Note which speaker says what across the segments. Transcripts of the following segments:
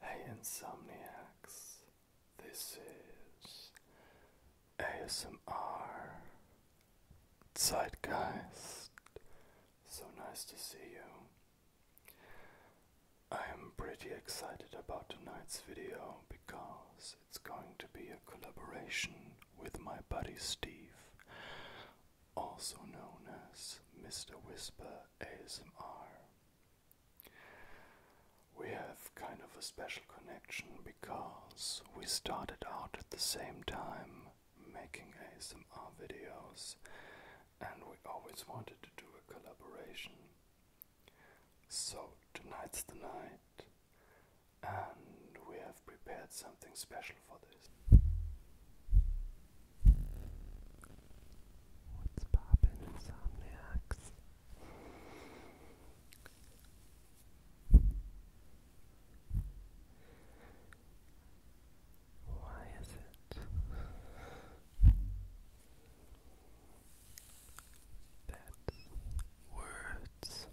Speaker 1: Hey Insomniacs, this is ASMR Zeitgeist. So nice to see you. I am pretty excited about tonight's video because it's going to be a collaboration with my buddy Steve, also known as Mr. Whisper ASMR. We have kind of a special connection because we started out at the same time making ASMR videos and we always wanted to do a collaboration. So tonight's the night and we have prepared something special for this. What's poppin' insomniacs? Why is it that words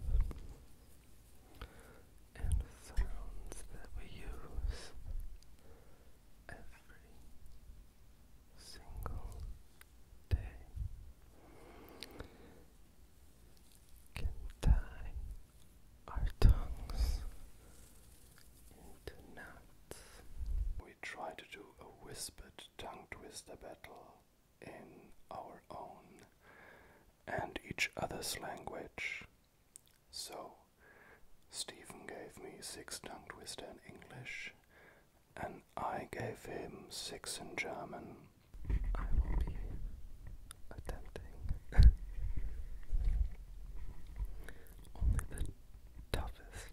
Speaker 1: and sounds that we use every single day can tie our tongues into knots. We try to do a whispered tongue twister battle in our own and each other's language. So, Stephen gave me six tongue twister in English, and I gave him six in German. I will be attempting only the toughest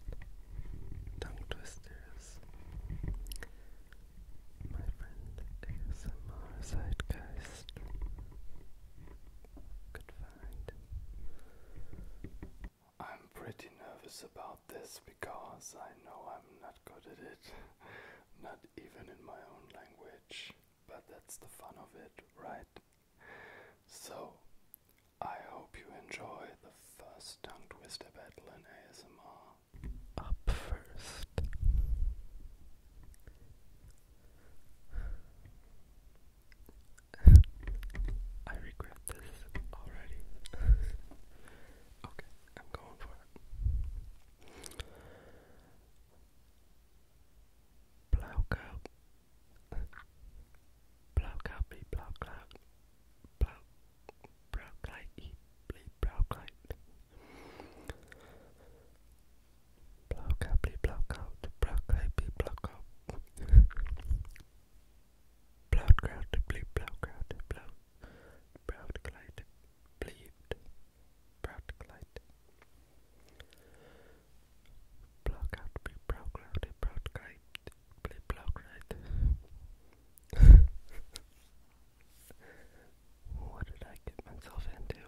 Speaker 1: tongue twisters my friend ASMR Zeitgeist could find. I'm pretty nervous about this because I know I'm not good at it, not even in my own language, but that's the fun of it, right? So, I hope you enjoy the first tongue twister battle in ASMR up first.
Speaker 2: I regret this already. okay, I'm going for it. Block out. Block out, be block out. Block, block, like, Blaukeit. Blaukeit, Blaukeit, Blaukeit, Blaukeit. Blaukraut, bleep, blaukraut, blau. Brautkleid, bleeped. Brautkleid. Blaukraut, bleep, braukraut, brautkleid, bleep, blaukraut. What did I get myself into?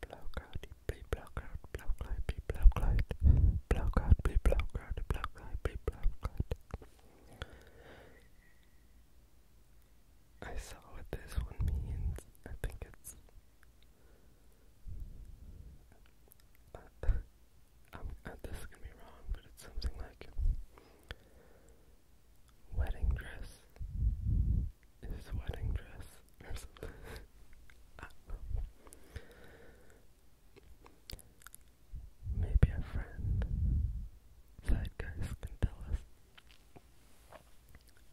Speaker 2: Blowcrowd, be blowcrowd, blowcrowd, be blowcrowd, blowcrowd, be blowcrowd, blowcrowd, be blowcrowd. I saw what this one means. I think it's. Uh, I'm, uh, this is gonna be wrong, but it's something like wedding dress. His wedding dress Maybe a friend. Side guys can tell us.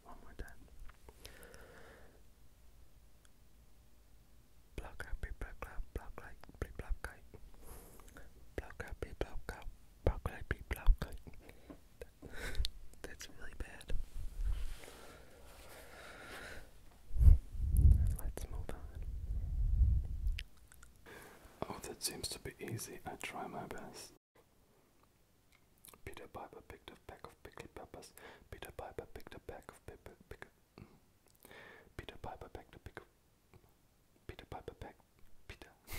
Speaker 1: One more time. Block up, block up, block like, block like, block up, block up, how could I be blocked? That's really bad. Let's move on. Oh, that seems to be easy. I try my best. Peter Piper picked a pack of pickled peppers. Peter Piper picked a pack of pepper. Pick mm. Peter Piper packed a pick of. Peter Piper packed. Peter.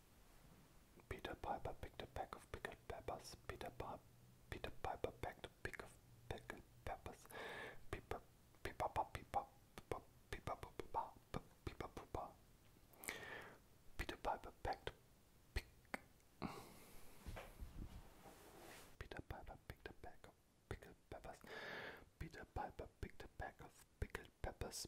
Speaker 1: Peter Piper picked a pack of pickled peppers. Peter, pa Peter Piper packed a pick of pickled peppers. Peepa, peepa, peepa, peepa, peepa, peepa, peepa, peepa. Peter Piper packed Peter Piper picked a pack of pickled peppers. Peter Piper picked a pack of pickled peppers.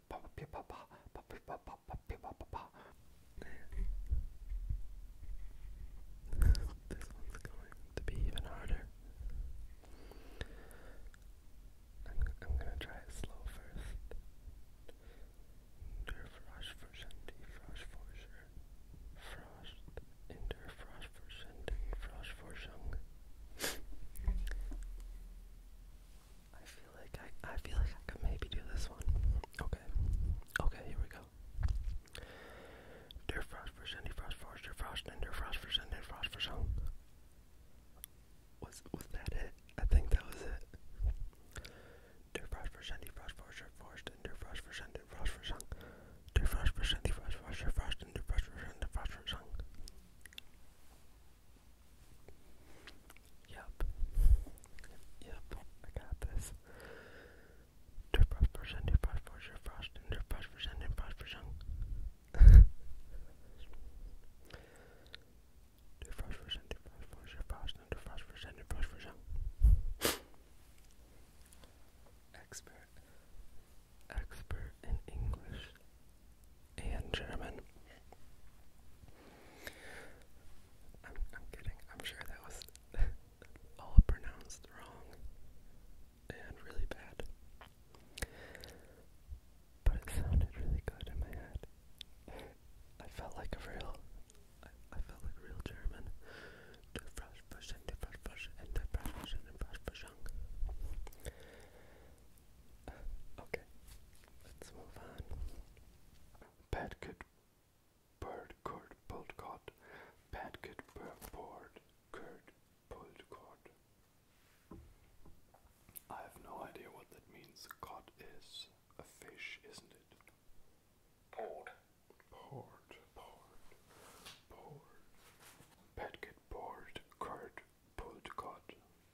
Speaker 1: this one's
Speaker 2: going to be even harder. I'm, I'm gonna try it slow first. Interfrosh for shanty, frosh for sure. Frosh, interfrosh for shanty, frosh for shung. I feel like I I feel like I could maybe do this one. Okay. Okay, here we go. Der Frost for Sunday Frost Frost Der Frost and Der Frost for Sunday Frost for Song. Was was that it? I think that was it. Der Frost for Sunday Frost Frost Der Frost and Der Frost for Sunday Frost for Song. Der Frost for Sunday Frost Frost Der Frost and Der Frost for Sunday Frost for Song. Yep. Yep, I got this. Dirt brush brush and dirt brush brush dirt brush and dirt brush brush and brush brush Dirt brush brush and dirt brush brush dirt brush and dirt brush brush and dirt brush brush Expert Expert in English and German I'm, kidding. I'm sure that was all pronounced wrong and really bad. But it sounded really good in my head. I felt like a real, I, felt like real German. Okay, let's move on. Padcock bird curd pulled cod. Padcock
Speaker 1: bird curd pulled cod. I have no idea what that means. Cod is a fish, isn't it? Poured. Poured, poured, poured. Padcock board curd pulled cod.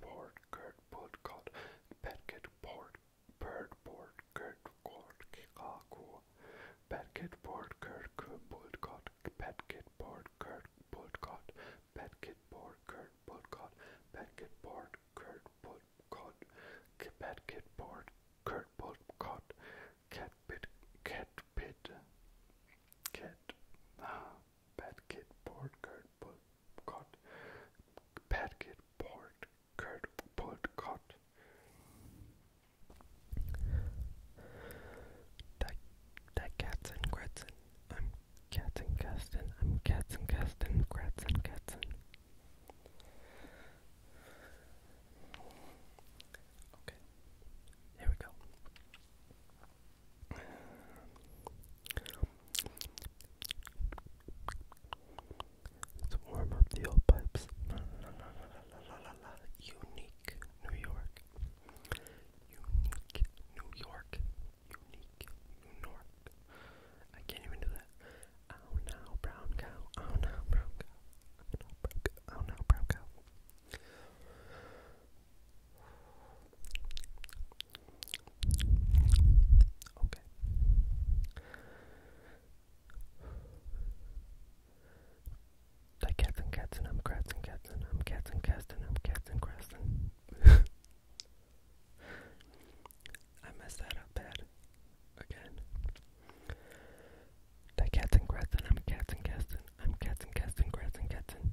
Speaker 1: board, Gert board, cod, Bedkit board, bird board, Gert cord, Kikaku, Bedkit board, Gert board, cod, Bedkit board, Gert board, cod, Bedkit board, Gert board, cod, Bedkit board, Gert board, cod, Bedkit board, Gert board, cod, Cat bit, cat bit, cat. Ah. Padkit Portcurt Cot Padkit Portcurt Portcot
Speaker 2: Cats and Gretzen. I'm Cats and Gaston. I'm Cats and Gaston. Gratz and Okay. Here we go. To warm up the old pipes. unique New York. Unique New York. Unique New York. I can't even do that. Oh no, brown cow. Oh no, brown cow. Oh no, brown cow. Okay. Like cats and cats and I'm crats and cats and I'm cats and cats and I'm cats and crats and I messed that up bad again. The cats and crats and I'm cats and cats and I'm cats and cats and crats and cats and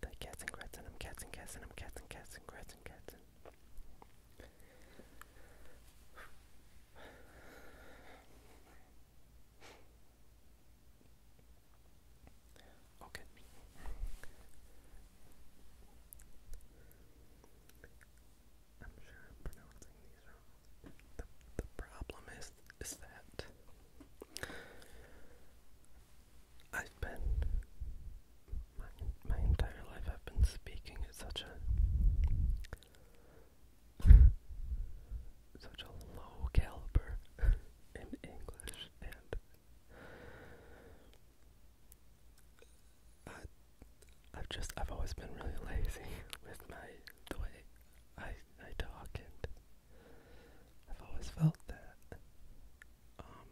Speaker 2: The cats and grats and I'm cats and cats and I'm cats and cats and grats and cats and Okay. I'm sure I'm pronouncing these wrong. The, the problem is, is that I spent my, my entire life I've been speaking at such a such a low caliber in English and I, I've just I've always been really lazy with my the way I I talk and I've always felt that um,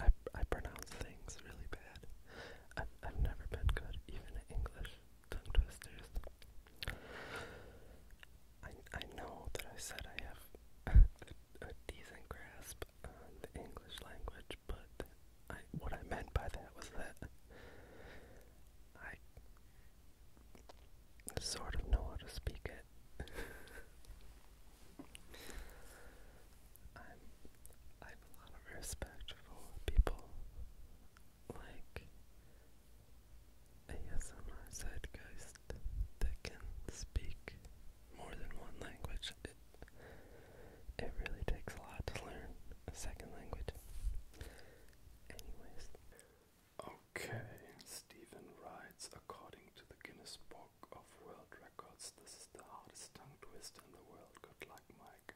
Speaker 2: I I pronounce things really bad. I've I've never been good even at English tongue twisters. I I know that I said I have a, decent grasp on the English language, but what I meant by that was that I sort of know how to speak it. I'm, I have a lot of respect people like ASMR Zeitgeist that can speak more than one language.
Speaker 1: it really takes a lot to learn a second language. Anyways, Okay, Stephen writes according to the Guinness Book of World Records, this is the hardest tongue twist in the world. Good luck, Mike.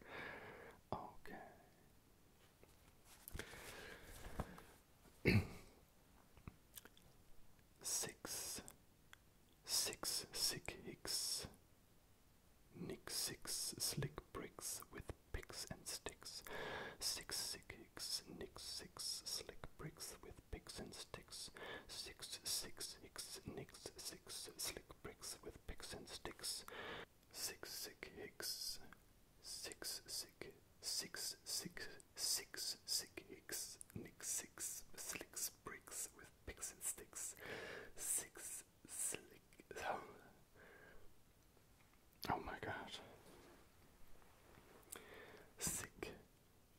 Speaker 1: Okay. six, six, six slick bricks with picks and sticks. Six sick hicks, nick six, slick bricks with picks and sticks. Six six hicks, nicks six, slick bricks with picks and sticks. Six sick hicks, six sick, six six, six sick hicks, nick six, slick bricks with picks and sticks. Six slick. Oh, oh my god. Sick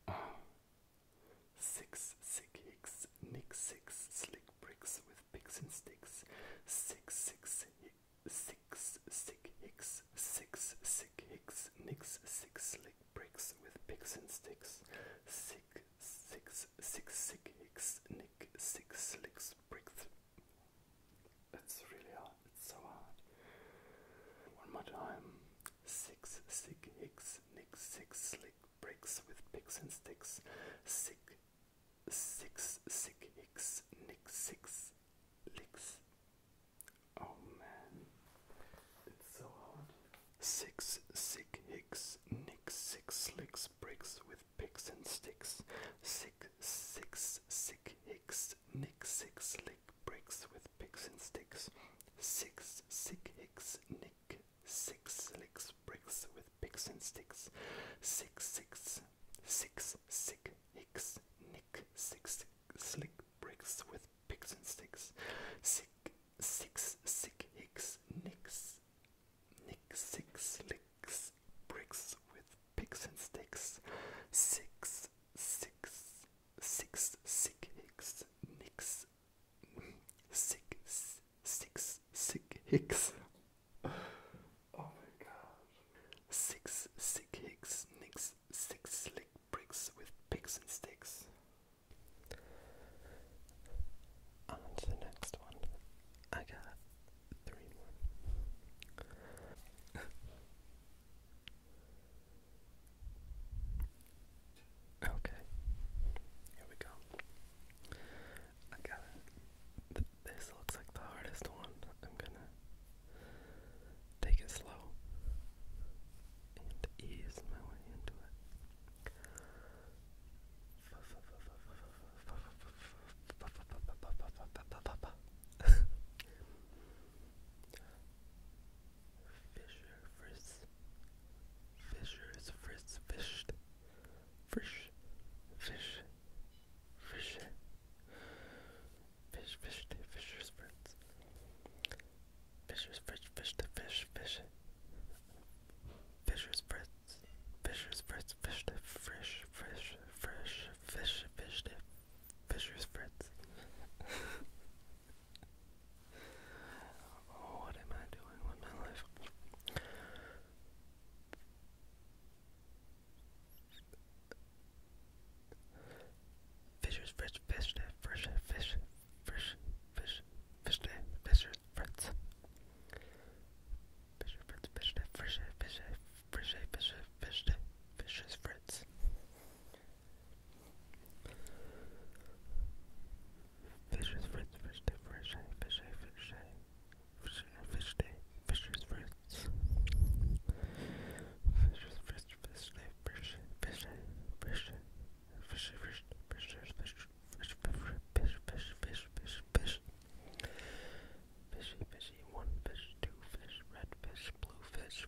Speaker 1: Oh. Six, sick hicks, nick six, slick bricks with picks and sticks. Six, six, six, sick hicks, six, sick hicks, nicks, six, slick bricks with picks and sticks. Sick, six, six, sick hicks, nick, six, slicks, bricks. That's really hard. It's so hard. One more time. Six, sick, hicks, nicks, six, slick bricks with picks and sticks. Sick, six, sick, hicks, nicks, six, licks. Oh man, it's so hard. Six, sick, hicks, nicks, six, slicks, bricks with picks and sticks. Six, six, sick, hicks, six, nick, six, lick, bricks with picks and sticks. Six, sick, hicks, nick, six, licks, bricks with picks and sticks. Six, six, six, sick, hicks, nick, six, slick, bricks with picks and sticks. Sick, six, sick, hicks, nicks, nick, six, licks, bricks with picks and sticks. Six, six, six sick hicks nicks six six sick hicks oh my god six sick hicks nicks six slick bricks with picks and sticks on to the next one I got three more
Speaker 2: Okay, here we go. I got it. this looks like the hardest one. I'm gonna take it slow and ease my way into it. Fisher Frisk Fisher is frisk fished Frish Fish Fish Fish fished Fisher's friends Fisher's Frisk fish to fish fish Fisher's friends Fisher's friends fish to fresh fresh fresh fish fish to Fisher's friends what am I doing with my life? Fisher's fresh fish, fresh fish, fresh fish, fish, fisher's frets. Fisher frets, fish, fresh fish, fresh fish, fish, fisher's frets. Fisher's Fritz, Fish Day, Fish Day, Fish Day, Fish Day, Fish Day, Fish Day, Fisher's Fritz. Fisher's Fritz, Fish Day, Fish Day, Fish Day, Fish Day, Fish Day, Fish Day, Fish Day, Fish Fish, Fish, Fish, Fish, Fish. Fishy, fishy, one fish, two fish, red fish, blue fish.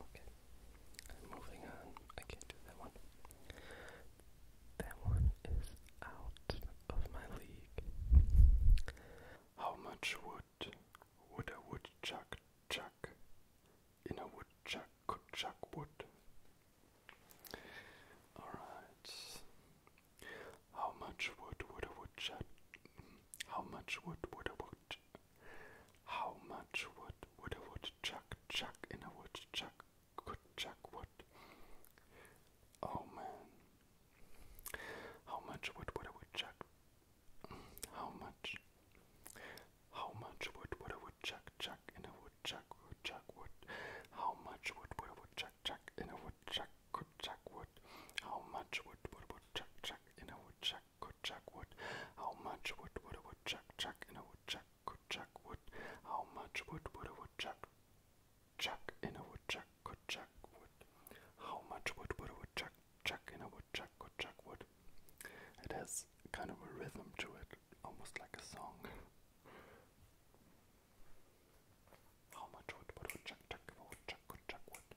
Speaker 2: okay.
Speaker 1: Moving on. I can't do that one. That one is out of my league. How much wood would a woodchuck chuck in a woodchuck could chuck wood? Alright. How much wood would a woodchuck how much wood would a how much wood would a woodchuck chuck in a woodchuck could chuck wood? Oh man. How much wood would a woodchuck? How much? How much wood would a woodchuck chuck in a woodchuck woodchuck wood? How much wood would a woodchuck chuck in a woodchuck could chuck wood? How much wood would a woodchuck chuck in a woodchuck woodchuck How much wood would a woodchuck chuck in a woodchuck could chuck wood? How much wood would a woodchuck chuck in a woodchuck could chuck wood? How much wood would a woodchuck chuck in a woodchuck could chuck wood? It has kind of a rhythm to it, almost like a song. How much wood would a woodchuck chuck if a woodchuck could chuck wood?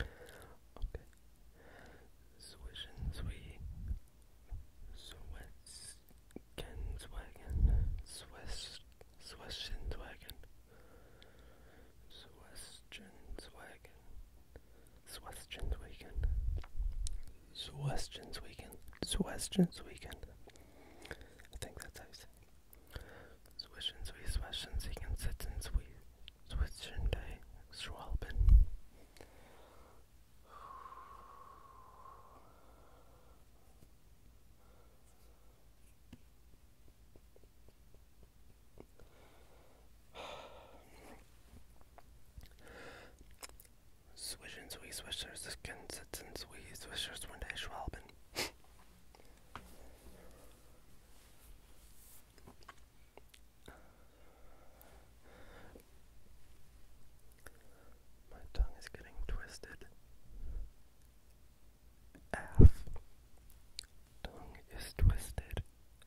Speaker 2: Okay. Swishing, sweet. Sweats. Ken's wagon. Swiss. Swestion's wagon. Swestion's wagon. Swestion's wagon. Swestion's weekend. Swestion's weekend. I think that's how you say it. Swishing, sweet, swishing, seeking, sitting, sweet, switching day, schwalben. Swishing, sweet, swishers, skin, sitting, sweet, swishers, one day, schwalben. My tongue is getting twisted. F. Tongue is twisted.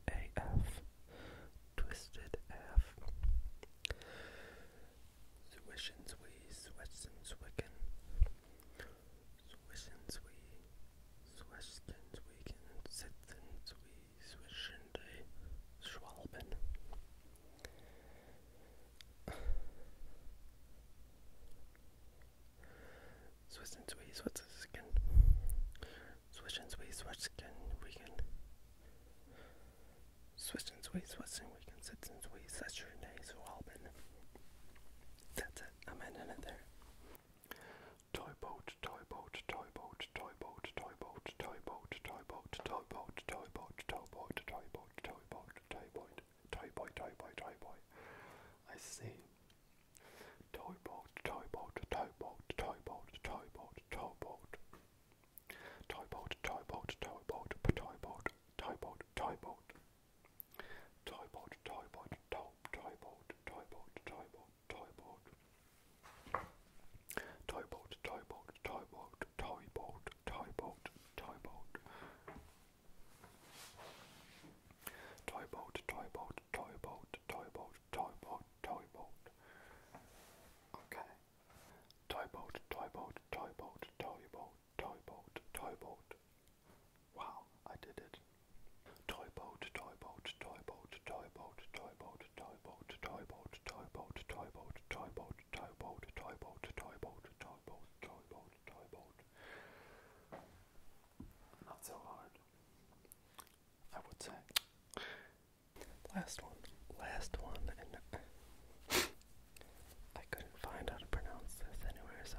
Speaker 2: AF. Twisted F. Swish and swee, swish and swicken. Swish Swestens wegen und sitzens wie zwischen den Schwalben. Swestens wie Swestensken. Swestens wie Swestensken wegen. Swestens wie Swestensken wegen. Sitzens wie zwischen den Schwalben. That's it. I'm ending it there. Toy boat, toy boat, toy boat, toy boat,
Speaker 1: toy boat, toy boat, toy boat, toy boat, toy boat, toy boat, toy boat, toy boat, toy boy, toy boy, toy boy, toy boy. I see. Toy boat, toy boat, toy boat, toy boat, toy boat, toy boat. Toy boat, toy boat, toy boat, toy boat, toy boat, toy boat. Toy boat, toy boat, toy, toy boat, toy boat, toy boat, toy boat. Toy boat, toy boat, toy boat, toy boat, toy boat, toy boat. Toy
Speaker 2: boat, toy boat, toy boat, toy boat, toy boat, toy boat. Okay. Toy boat, toy boat, toy boat, toy boat, toy boat, toy boat, toy boat. Wow, I did it. Toy boat, toy boat, toy boat, toy boat, toy boat, toy boat, toy boat, toy boat, toy boat, toy boat, toy boat, toy boat, toy boat, toy boat, toy boat, toy boat. Not so hard. I would say. Last one. Last one I couldn't find how to pronounce this anywhere, so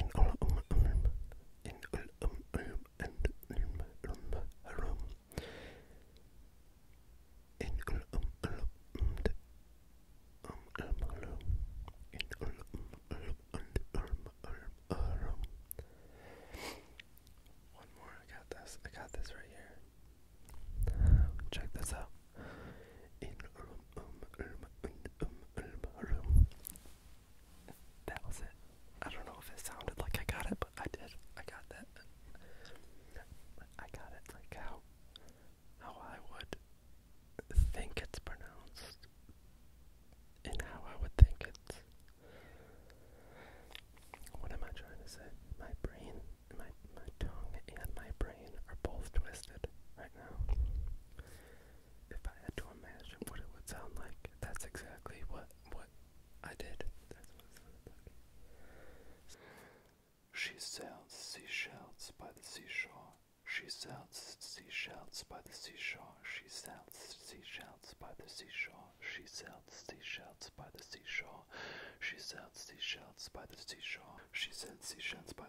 Speaker 2: In Ul Um Ulm, in Ul Um Ulm and Ulm Ulm Harum. In Ul Um Ulm and Um Ulm Harum. In Ul Um Ulm and Ulm Ulm Harum. One more, I got this. I got this right here. Check this out. In Ulm Um Ulm and Um Ulm Harum that was it. I don't know if it sounded like I got it, but I did. I got that. I got it like how how I would think it's pronounced and how I would think it's what am I trying to say? My brain my my tongue and my brain are both twisted right now if I had to imagine what it would sound like, that's exactly what what I did.
Speaker 1: She sells seashells by the seashore. She sells seashells by the seashore. She sells seashells by the seashore. She sells seashells by the seashore. She sells seashells by the seashore. She sells seashells by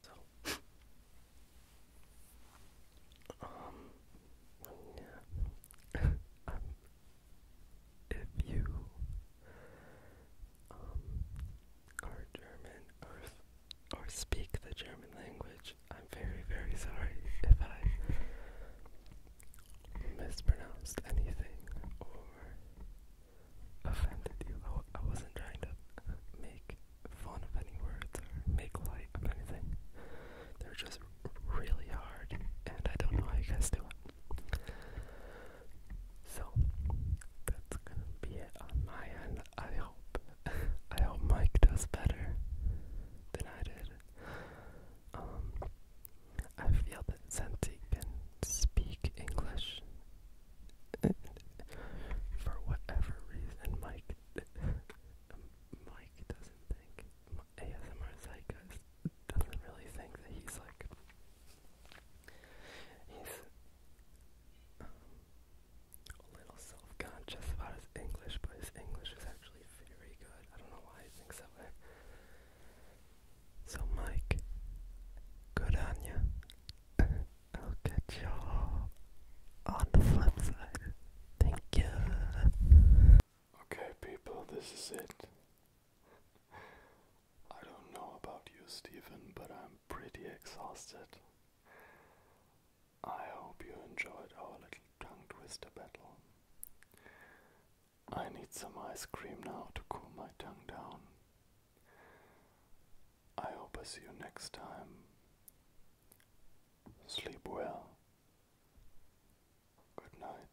Speaker 1: So, um, yeah, if you, um, are German or or speak the German language, I'm very, very sorry if I mispronounced anything or offended you. I, wasn't trying to make fun of any words or make light of anything. They're just
Speaker 2: really hard, and I don't know how you guys do it. So that's gonna be it on my end. I hope I hope Mike does better than I did. Um, I feel that since can speak English for whatever reason, Mike, Mike doesn't think ASMR Zeitgeist doesn't really think that he's like he's um, a little self-conscious about his English, but his English is actually very good. I don't know why he thinks that So Mike, good on ya. I'll catch y'all on the flip side. Thank you.
Speaker 1: Okay, people, this is it. I don't know about you, Stephen, but I'm pretty exhausted. I hope you enjoyed our little tongue twister battle. I need some ice cream now to cool my tongue down. I hope I see you next time. Sleep well. Good night.